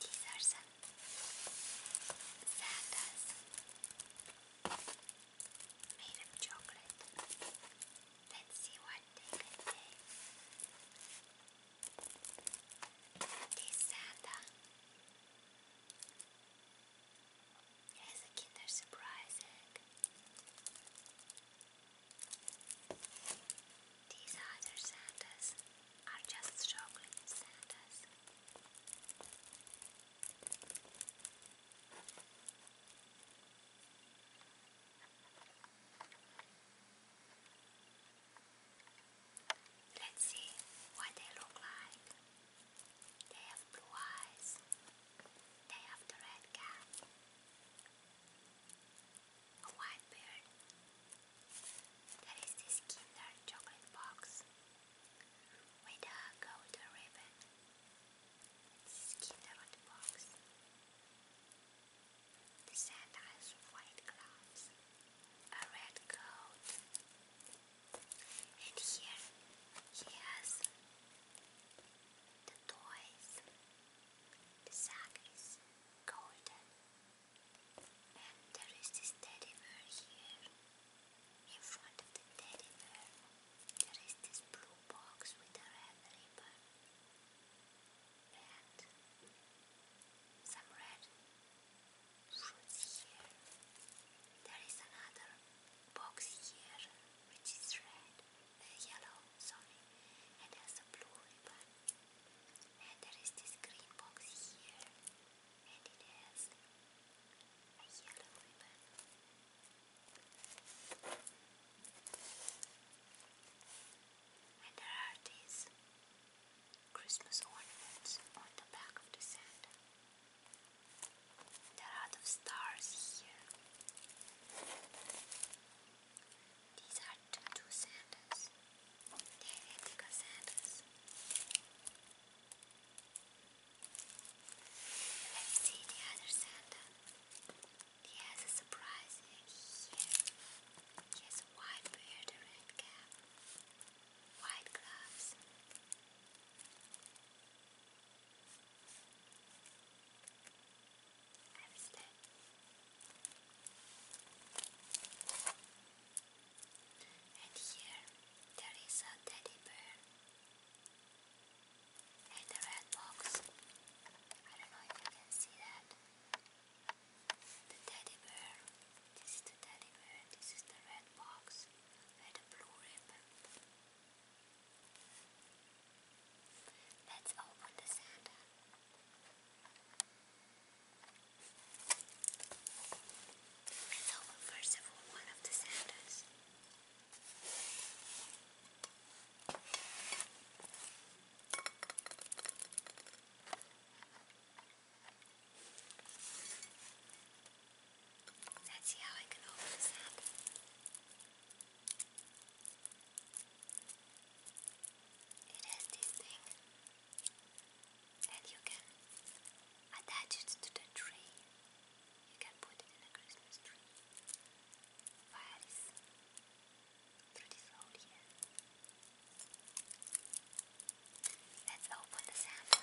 These are some Santas made of chocolate. Let's see what they contain. This Santa has a Kinder Surprise egg. These other Santas are just chocolate Santas. Let's see what they look like. They have blue eyes. They have red cap a white beard. That is this Kinder chocolate box with a golden ribbon. It's Kinder box. The Santa has white gloves, a red coat, and here he has the toys. The sack is golden, and there is this teddy bear here. In front of the teddy bear, there is this blue box with a red ribbon and some red fruits here. There is another box here which is red yellow, sorry, and there's a blue ribbon, and there is this green box here, and it yellow And there are these Christmas ornaments on the back of the sand. There are a lot of stars here. These are two Santas. They are bigger Let's see the other Santa. He has a surprise here. He has a white beard, a cap, white gloves. I was dead. And here there is a teddy bear and a red box. I don't know if you can see that. The teddy bear. This is the teddy bear. This is the red box with a blue ribbon. Let's open the Santa. Let's open first of all one of the Santas. Let's see how I can open this up. It has this thing, and you can attach it to the tree. You can put it in a Christmas tree. Via this, through this hole here. Let's open the sample.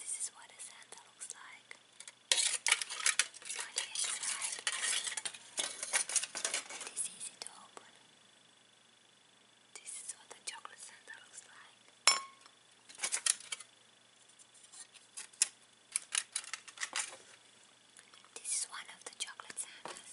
This is what a Santa looks like on the inside. It is easy to open. This is what a chocolate Santa looks like. This is one of the chocolate Santas.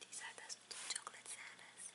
These are the chocolate sandwiches.